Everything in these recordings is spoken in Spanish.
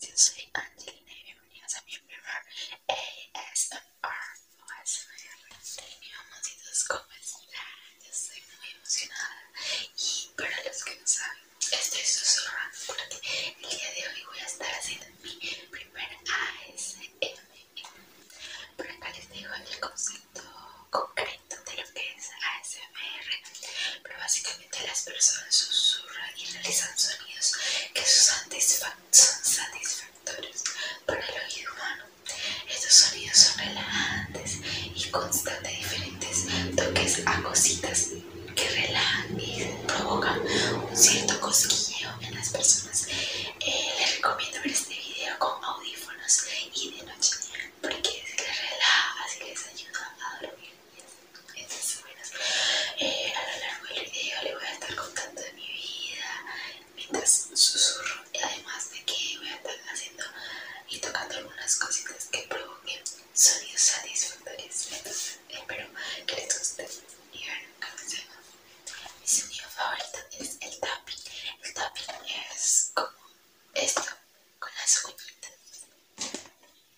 Yo soy Angelina y bienvenidos a mi primer ASMR o ASMR de ¿cómo están? Yo estoy muy emocionada y para los que no saben, estoy susurrando porque el día de hoy voy a estar haciendo mi primer ASMR Pero acá les digo el concepto concreto de lo que es ASMR pero básicamente las personas susurran y realizan sonidos que son, satisfactorios para el oído humano. Estos sonidos son relajantes y constan de diferentes toques a cositas que relajan y provocan un cierto cosquilleo en las personas. Eh, les recomiendo ver este video con audífonos y de noche porque les relaja, así les ayuda a dormir buenas. Eh, a lo largo del video le voy a estar contando de mi vida mientras susurro. Y además de que voy a estar haciendo y tocando algunas cositas que provoquen sonidos satisfactorios. espero que les guste. Y bueno, comencemos. Mi sonido favorito es el tapping. El tapping es como esto, con las uñitas.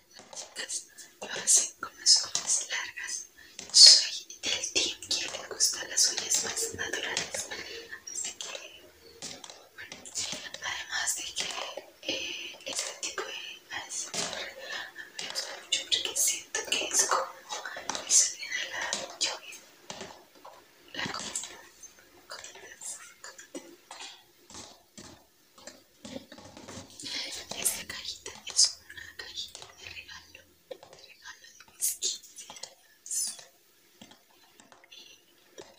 Chicas, yo con las uñas largas. Soy del team que le gustan las uñas más naturales. Así que, bueno, además de que este tipo de ASMR a me gusta mucho porque siento que es como mi sonido de la lluvia. La comida, con el esta cajita es una cajita de regalo, de regalo de mis 15 años.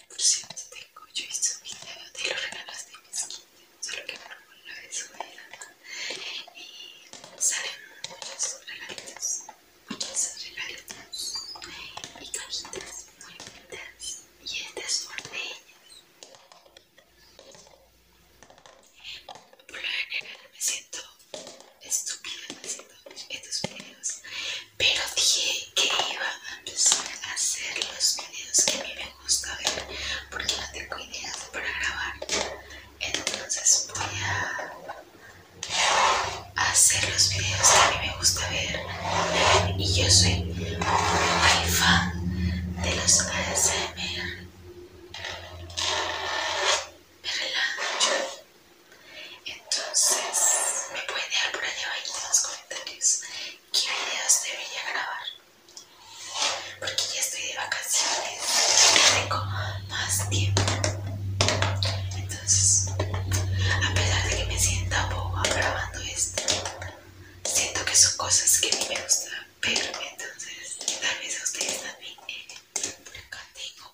por cierto, tengo yo hice este un video de los regalos de mis 15, solo que no lo he a Y salen muchos regalitos, muchos regalitos y cajitas muy bonitas. Y esta es una de ellas. Por lo general me siento estúpida haciendo estos videos, pero dije que iba a empezar a hacer los videos que a mí me gusta ver porque no tengo ideas para grabar. Entonces voy a hacer los videos que a mí me gusta ver y yo soy muy fan de los ASMR. Me relajo. Entonces, me pueden dejar por allá en los comentarios qué videos debería grabar. Porque ya estoy de vacaciones tengo más tiempo. Entonces, a pesar de que me sienta boba grabando esto, siento que son cosas que a mí me gustan pero entonces tal vez a ustedes también. Eh, por acá tengo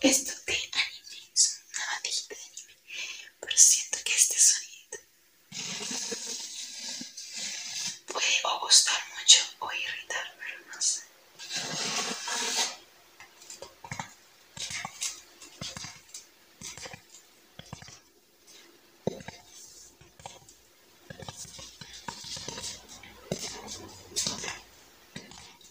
Esto te una bandejita de anime, pero siento que este sonido puede o gustar mucho o irritar, pero no sé.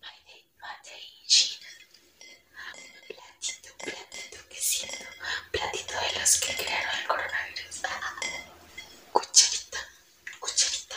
Mate, platito, platito que siento. platito de los que crearon el coronavirus. Cucharita, cucharita.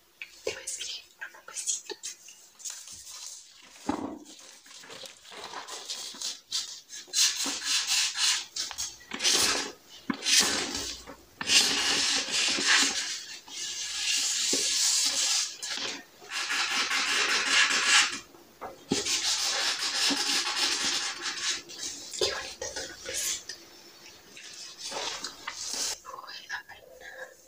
Te pues voy a decir un besito. bonito Voy a ver.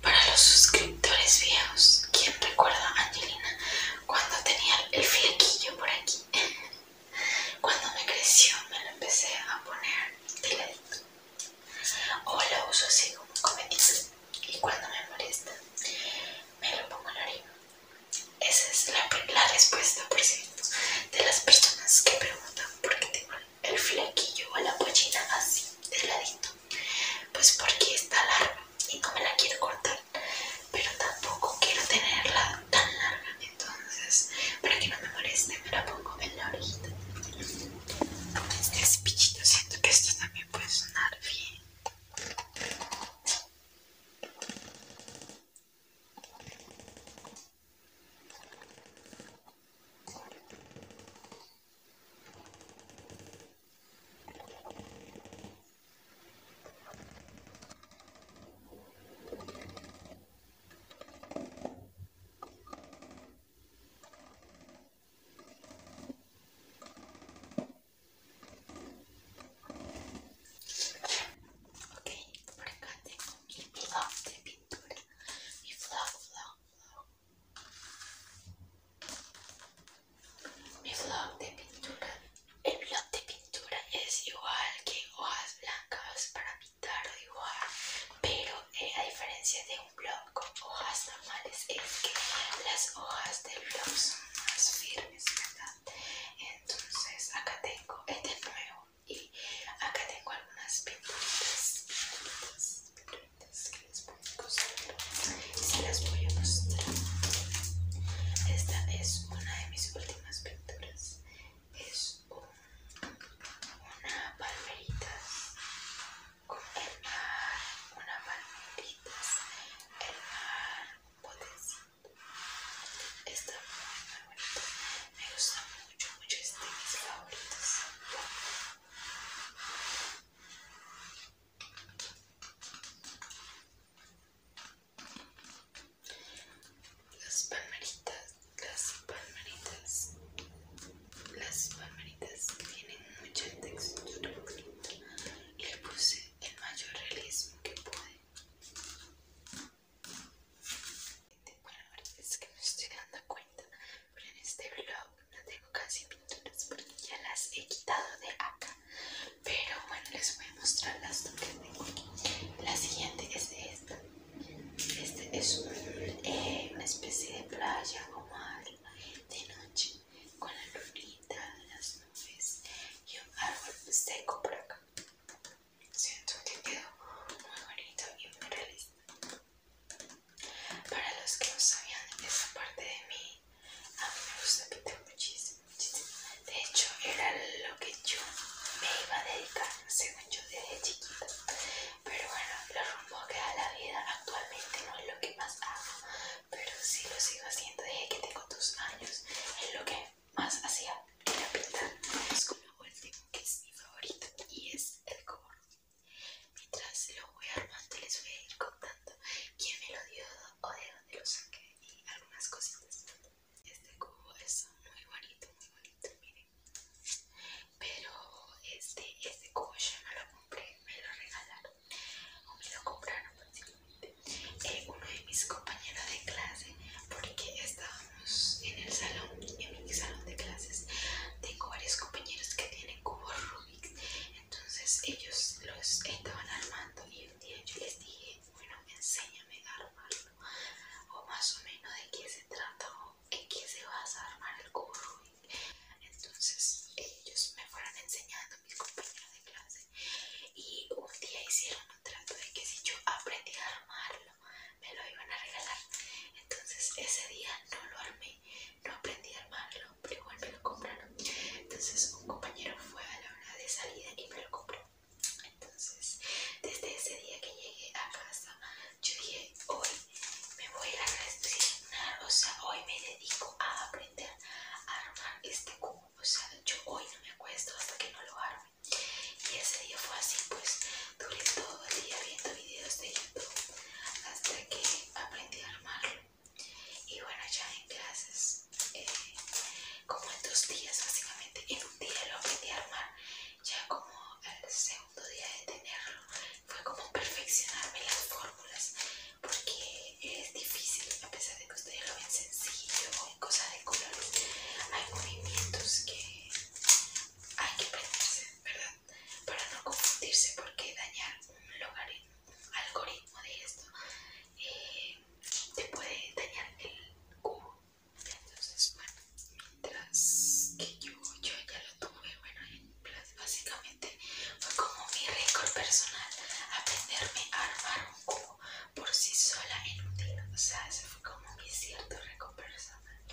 Para los suscriptores viejos, ¿quién recuerda a Angelina cuando tenía el flequillo por aquí? Cuando me creció me lo empecé a poner de o la uso así como me y cuando me molesta me lo pongo en la oreja Esa es la, respuesta, por cierto, de las personas que preguntan por qué tengo el flequillo o la pollina así, del ladito. Pues porque está larga y no me la quiero cortar, pero tampoco quiero tenerla tan larga. Entonces, para que no me moleste, me la pongo en la orejita. Este espichito siento que esto también puede sonar bien. Ok, por acá tengo mi blog de pintura. Mi vlog, vlog, vlog. Mi vlog de pintura. El blog de pintura es igual que hojas blancas para tardo igual, pero eh, a diferencia de un blog con hojas normales es que las hojas del blog son más firmes, ¿verdad? Entonces acá tengo este nuevo y acá tengo algunas pinturitas, pinturitas, que les mostrar y se las voy a mostrar. Esta es una de mis últimas pinturas es un, una palmeritas con el mar, una palmeritas, el mar, un botecito. Está muy, muy bonito. Me gusta mucho, mucho. Es de mis favoritos las palmeritas, las palmeritas, las palmeritas tienen mucha textura y le puse el mayor realismo que pude. Bueno, es que me estoy dando cuenta, pero en este vlog no tengo casi pinturas porque ya las he quitado de acá. Pero bueno, les voy a mostrar las dos que tengo. La siguiente es esta. Este es eh, una especie de playa como algo de noche con la lunita, las nubes y un árbol seco por acá. Siento que quedó muy bonito y muy realista. Para los que no sabían esa parte de mí, a mí me gusta pintar muchísimo, De hecho, era lo que yo me iba a dedicar yo desde chiquita. Pero bueno, lo rumbo que da la vida actualmente no es lo que más hago, pero sí lo sigo haciendo desde que tengo tus años. Es lo que más hacía, la pintar. Es con la último, que es mi favorito, y es el cubo Mientras lo voy armando, les voy a ir contando quién me lo dio o de dónde lo saqué y algunas cositas. Este cubo es muy bonito, muy bonito, miren. Pero este, este cubo yo me lo compré, me lo regalaron o me lo compraron prácticamente eh, uno de mis compañeros de clase porque estábamos en el salón, en mi salón de clases tengo varios compañeros que tienen cubos Rubik entonces ellos los estaban armando y un día yo les dije bueno enséñame a armar o más o menos de qué se trata o en qué se vas a armar el curro Entonces ellos me fueron enseñando, mis compañeros de clase, y un día hicieron un trato de que si yo aprendí a armarlo, me lo iban a regalar. Entonces ese día no lo armé, no aprendí a armarlo, pero igual me lo compraron. Entonces un compañero fue a la hora de salida y me lo compró. Entonces, desde ese día que llegué a casa, yo dije, hoy me voy a resignar, o sea, hoy me dedico a aprender a armar este cubo, o sea, yo hoy no me acuesto hasta que no lo arme. Y ese día fue así, pues duré todo el día viendo videos de YouTube hasta que aprendí a armarlo. Y bueno, ya en clases eh, como en dos días básicamente, en un día lo aprendí a armar, ya como el segundo día de tenerlo fue como perfeccionarme las fórmulas, porque es difícil, a pesar de que ustedes lo ven sencillo o en cosas de color, hay movimientos que hay que aprenderse, ¿verdad? Para no confundirse, porque dañar un logaritmo, algoritmo de esto, eh, te puede dañar el cubo entonces, bueno, mientras que yo, yo ya lo tuve, bueno, básicamente fue como mi récord personal aprenderme a armar un cubo por sí sola en un día. O sea, ese fue como mi cierto récord personal.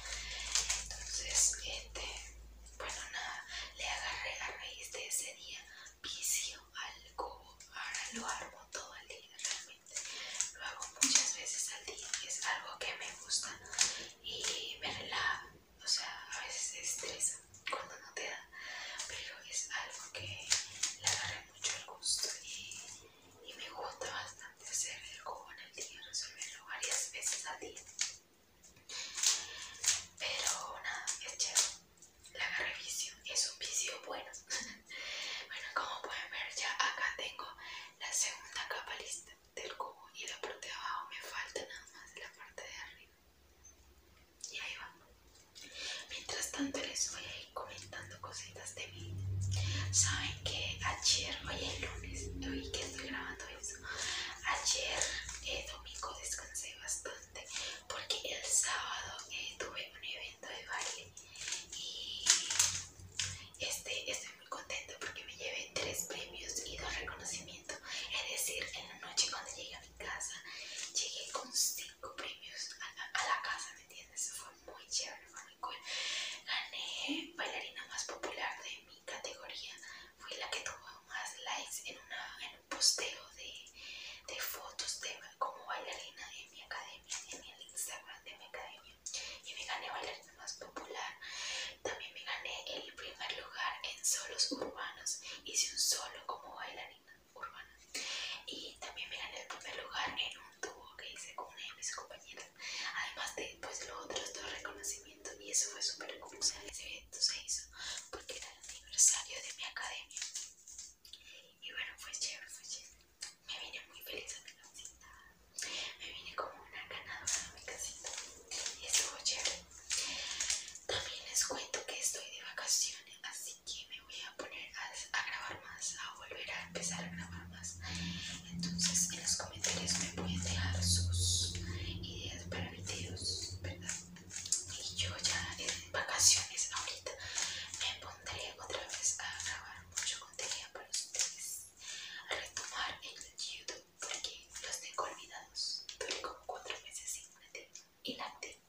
Entonces, este, bueno, nada, le agarré a raíz de ese día vicio al cubo. Ahora lo armo todo el día realmente lo hago muchas veces al día es algo que me gusta y me relaja o sea a veces estresa cuando no te da pero es algo que le agarré mucho el gusto y, y me gusta bastante hacer el en el día resolverlo varias veces al día pero nada es chévere la revisión es un vicio bueno. bueno, como pueden ver ya acá tengo la segunda capa lista del cubo y la parte de abajo me falta nada más la parte de arriba. Y ahí vamos Mientras tanto les voy a ir comentando cositas de mí. Saben que ayer, hoy es lunes, hoy que estoy grabando eso. Ayer, eh, domingo, descansé bastante porque el sábado tuve un evento de baile y este, estoy muy contenta porque me llevé tres premios y dos reconocimientos. Es decir, en la noche cuando llegué a mi casa, llegué con cinco premios a, la casa, ¿me entiendes? Eso fue muy chévere, fue muy cool. Gané bailarina más popular de mi categoría. Fui la que tuvo más likes en, un posteo de, de fotos de como bailarina en mi academia, en el Instagram de mi academia. Y me gané bailarina más popular. También me gané el primer lugar en solos urbanos. Hice un solo como bailarina urbana. Y también me gané el primer lugar en un tubo que hice con una de mis compañeras. Además de pues, los otros dos reconocimientos. Y eso fue súper cool. Ese evento se hizo porque era el aniversario de mi academia. Y bueno, fue chévere, fue chévere. Me vine muy feliz a mi casita. Me vine como una ganadora a mi casita. Y estuvo chévere. También les cuento que estoy de vacaciones, así que me voy a poner a, grabar más, a volver a empezar a grabar más. Entonces en los comentarios me pueden dejar sus ideas para videos, ¿verdad? y yo ya en vacaciones ahorita me pondré otra vez a grabar mucho contenido para ustedes a retomar el youtube porque los tengo olvidados tuve como cuatro meses Y inactivo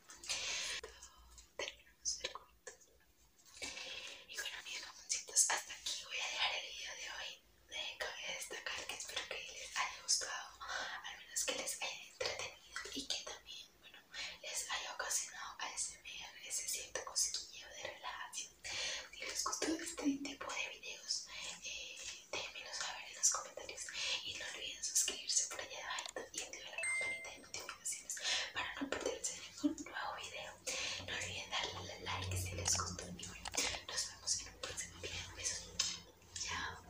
terminamos el cuento y bueno mis mamoncitos hasta aquí voy a dejar el video de hoy eh, cabe destacar que espero que les haya gustado al menos que les haya entretenido y que también bueno, les haya ocasionado ASMR ese cierto cosquilleo de relajación. Si les gustó este tipo de videos, eh, déjenmelo saber en los comentarios y no olviden suscribirse por allá abajo y activar la campanita de notificaciones para no perderse ningún nuevo video. No olviden darle like si les gustó y bueno, nos vemos en un próximo video. Besos, chao.